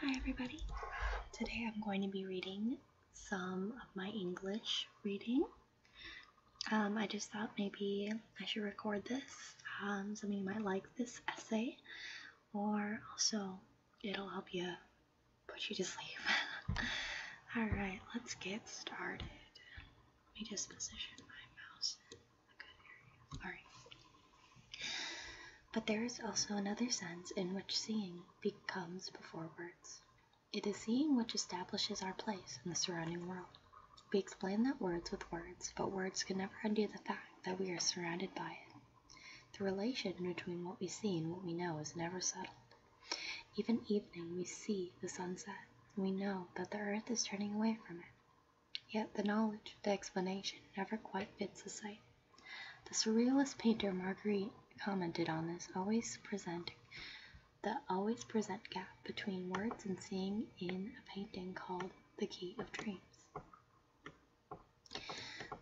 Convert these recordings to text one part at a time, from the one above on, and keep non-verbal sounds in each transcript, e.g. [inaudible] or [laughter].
Hi everybody! Today I'm going to be reading some of my English reading. Um, I just thought maybe I should record this. Um, some of you might like this essay, or also it'll help you put you to sleep. [laughs] Alright, let's get started. Let me just position my mouse. But there is also another sense in which seeing becomes before words. It is seeing which establishes our place in the surrounding world. We explain that words with words, but words can never undo the fact that we are surrounded by it. The relation between what we see and what we know is never settled. Even evening, we see the sunset. We know that the earth is turning away from it. Yet the knowledge the explanation never quite fits the sight. The surrealist painter Marguerite commented on this always present the always present gap between words and seeing in a painting called The Key of Dreams.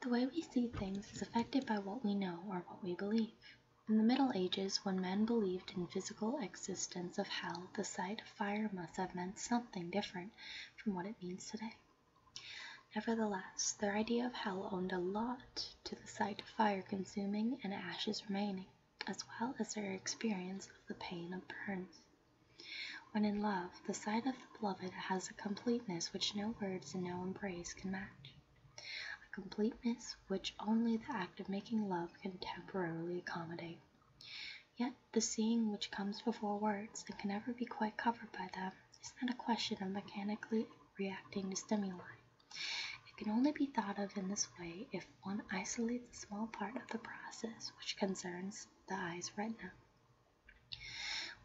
The way we see things is affected by what we know or what we believe. In the Middle Ages, when men believed in physical existence of hell, the sight of fire must have meant something different from what it means today. Nevertheless, their idea of hell owed a lot to the sight of fire consuming and ashes remaining, as well as their experience of the pain of burns. When in love, the sight of the beloved has a completeness which no words and no embrace can match. A completeness which only the act of making love can temporarily accommodate. Yet the seeing which comes before words and can never be quite covered by them is not a question of mechanically reacting to stimuli. It can only be thought of in this way if one isolates a small part of the process which concerns the eye's retina.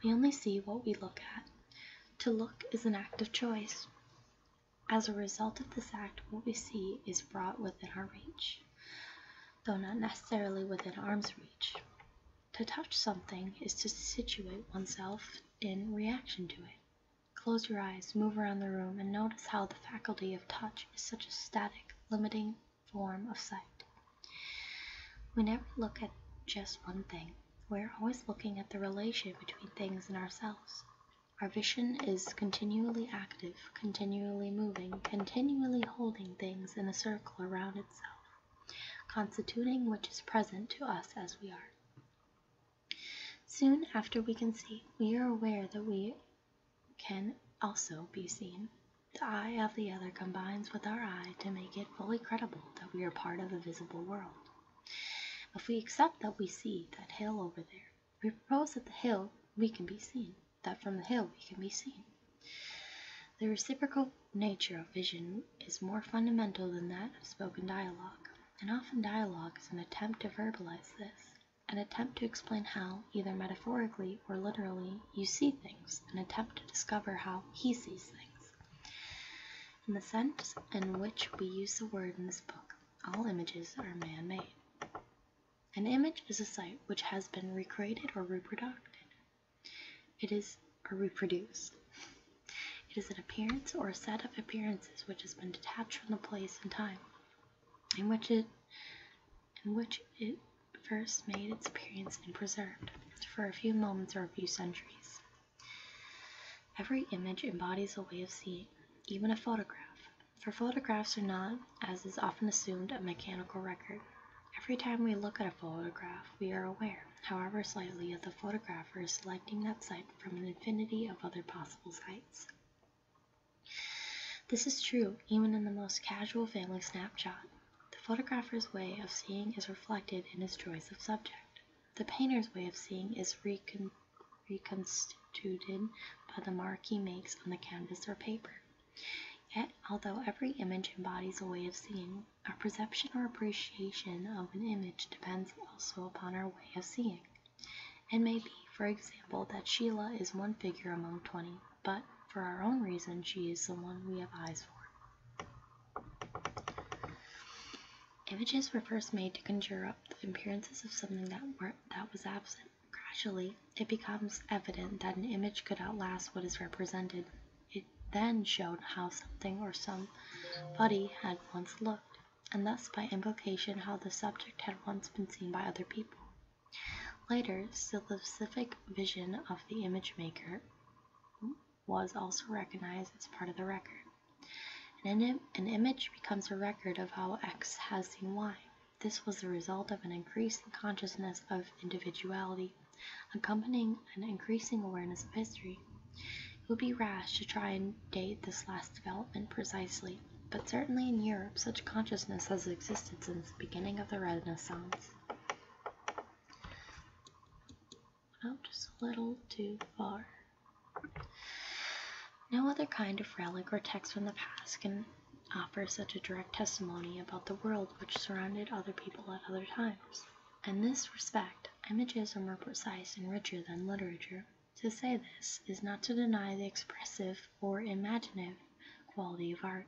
We only see what we look at. To look is an act of choice. As a result of this act, what we see is brought within our reach though not necessarily within arm's reach. To touch something is to situate oneself in reaction to it. Close your eyes, move around the room, and notice how the faculty of touch is such a static, limiting form of sight. We never look at just one thing, we are always looking at the relation between things and ourselves. Our vision is continually active, continually moving, continually holding things in a circle around itself, constituting which is present to us as we are. Soon after we can see, we are aware that we can also be seen. The eye of the other combines with our eye to make it fully credible that we are part of the visible world. If we accept that we see that hill over there, we propose that the hill we can be seen, that from the hill we can be seen. The reciprocal nature of vision is more fundamental than that of spoken dialogue, and often dialogue is an attempt to verbalize this, an attempt to explain how, either metaphorically or literally, you see things, an attempt to discover how he sees things. In the sense in which we use the word in this book, all images are man made. An image is a site which has been recreated or reproduced. It is or reproduced. It is an appearance or a set of appearances which has been detached from the place and time in which it in which it first made its appearance and preserved for a few moments or a few centuries. Every image embodies a way of seeing, even a photograph. For photographs are not, as is often assumed, a mechanical record. Every time we look at a photograph, we are aware, however slightly, of the photographer selecting that site from an infinity of other possible sites. This is true even in the most casual family snapshot. The photographer's way of seeing is reflected in his choice of subject. The painter's way of seeing is recon reconstituted by the mark he makes on the canvas or paper. Yet, although every image embodies a way of seeing, our perception or appreciation of an image depends also upon our way of seeing. It may be, for example, that Sheila is one figure among 20, but for our own reason, she is the one we have eyes for. Images were first made to conjure up the appearances of something that, that was absent. Gradually, it becomes evident that an image could outlast what is represented. It then showed how something or some body had once looked, and thus by implication how the subject had once been seen by other people. Later, the specific vision of the image maker was also recognized as part of the record an, image becomes a record of how X has seen Y. This was the result of an increase consciousness of individuality, accompanying an increasing awareness of history. It would be rash to try and date this last development precisely, but certainly in Europe such consciousness has existed since the beginning of the Renaissance went out just a little too far. No other kind of relic or text from the past can offer such a direct testimony about the world which surrounded other people at other times. In this respect, images are more precise and richer than literature. To say this is not to deny the expressive or imaginative quality of art.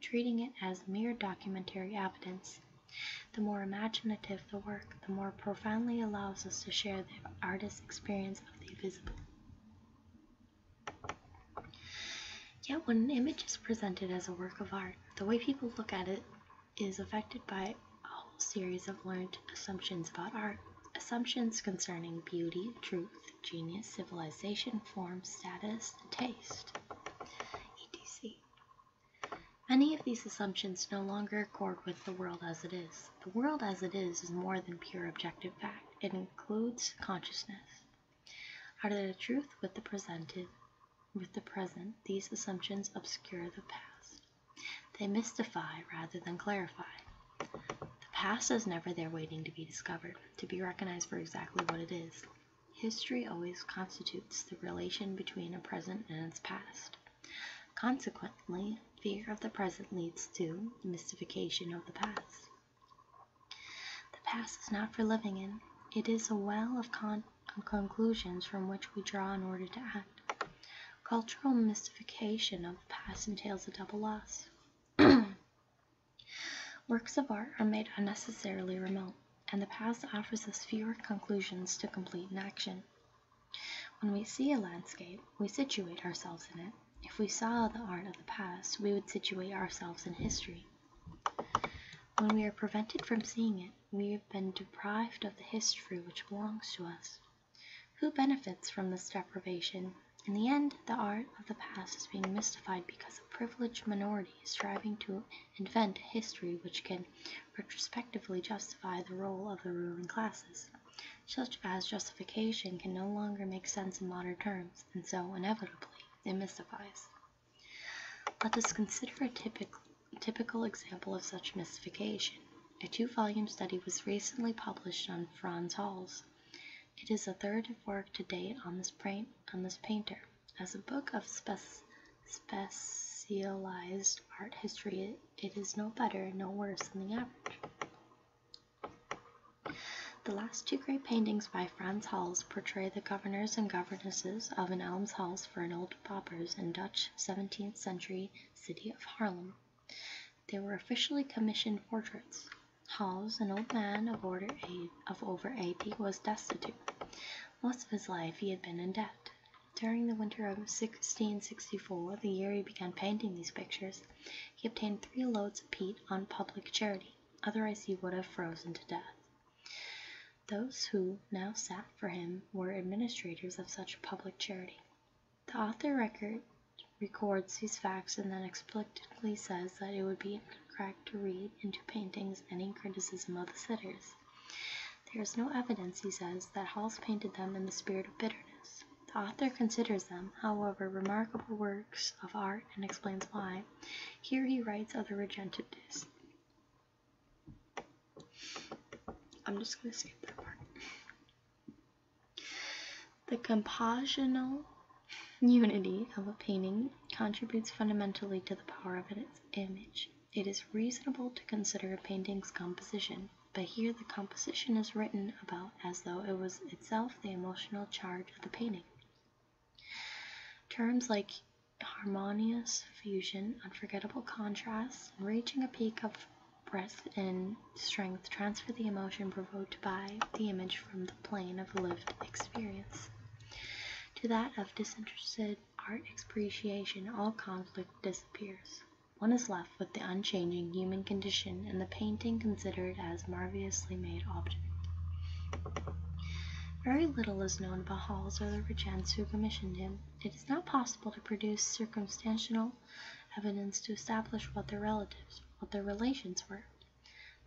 Treating it as mere documentary evidence the more imaginative the work, the more profoundly allows us to share the artist's experience of the visible. Yet, when an image is presented as a work of art, the way people look at it is affected by a whole series of learned assumptions about art. Assumptions concerning beauty, truth, genius, civilization, form, status, taste, etc. Many of these assumptions no longer accord with the world as it is. The world as it is is more than pure objective fact, it includes consciousness. Out of the truth with the presented, with the present, these assumptions obscure the past. They mystify rather than clarify. The past is never there waiting to be discovered, to be recognized for exactly what it is. History always constitutes the relation between a present and its past. Consequently, fear of the present leads to mystification of the past. The past is not for living in, it is a well of conclusions from which we draw in order to act. Cultural mystification of the past entails a double loss. [clears throat] Works of art are made unnecessarily remote and the past offers us fewer conclusions to complete an action. When we see a landscape, we situate ourselves in it. If we saw the art of the past, we would situate ourselves in history. When we are prevented from seeing it, we have been deprived of the history which belongs to us. Who benefits from this deprivation? In the end, the art of the past is being mystified because a privileged minority is striving to invent history which can retrospectively justify the role of the ruling classes. Such as justification can no longer make sense in modern terms, and so inevitably it mystifies. Let us consider a typical, typical example of such mystification. A two volume study was recently published on Franz Hals. It is the third work to date on this, paint, on this painter. As a book of specialized art history, it is no better, no worse than the average. The last two great paintings by Frans Hals portray the governors and governesses of an almshouse for an old paupers in Dutch 17th century city of Haarlem. They were officially commissioned portraits. Hals, an old man of over 80, was destitute. Most of his life he had been in debt. During the winter of 1664, the year he began painting these pictures, he obtained three loads of peat on public charity, otherwise he would have frozen to death. Those who now sat for him were administrators of such public charity. The author record, records these facts and then explicitly says that it would be incorrect to read into paintings any criticism of the sitters. There is no evidence, he says, that Hals painted them in the spirit of bitterness. The author considers them, however, remarkable works of art and explains why. Here he writes of the Regentides. I'm just going to skip that part. The compositional unity of a painting contributes fundamentally to the power of its image. It is reasonable to consider a painting's composition, but here the composition is written about as though it was itself the emotional charge of the painting. Terms like harmonious fusion, unforgettable contrast, reaching a peak of breadth and strength transfer the emotion provoked by the image from the plane of lived experience. To that of disinterested art appreciation, all conflict disappears. One is left with the unchanging human condition and the painting considered as marvelously made object. Very little is known about Hals or the regents who commissioned him. It is not possible to produce circumstantial evidence to establish what their relatives, what their relations were.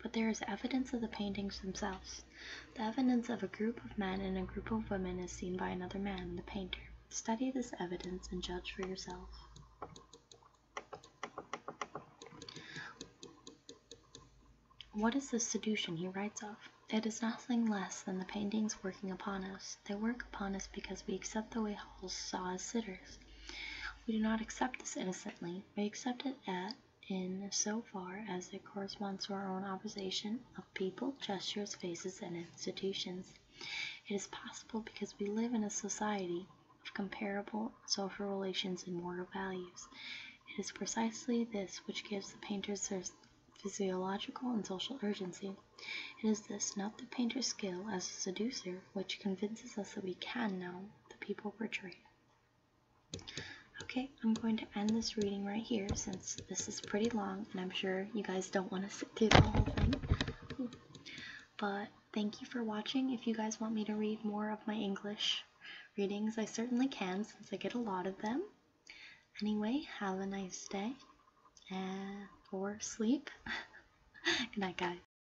But there is evidence of the paintings themselves. The evidence of a group of men and a group of women is seen by another man, the painter. Study this evidence and judge for yourself. What is this seduction he writes of? It is nothing less than the paintings working upon us. They work upon us because we accept the way Hall saw his sitters. We do not accept this innocently, we accept it at in so far as it corresponds to our own observation of people, gestures, faces, and institutions. It is possible because we live in a society of comparable social relations and moral values. It is precisely this which gives the painters their physiological and social urgency. It is this, not the painter's skill as a seducer, which convinces us that we can know the people portrayed Okay, I'm going to end this reading right here since this is pretty long and I'm sure you guys don't want to sit through the whole thing. But thank you for watching. If you guys want me to read more of my English readings, I certainly can since I get a lot of them. Anyway, have a nice day and, eh, or sleep. [laughs] Good night, guys.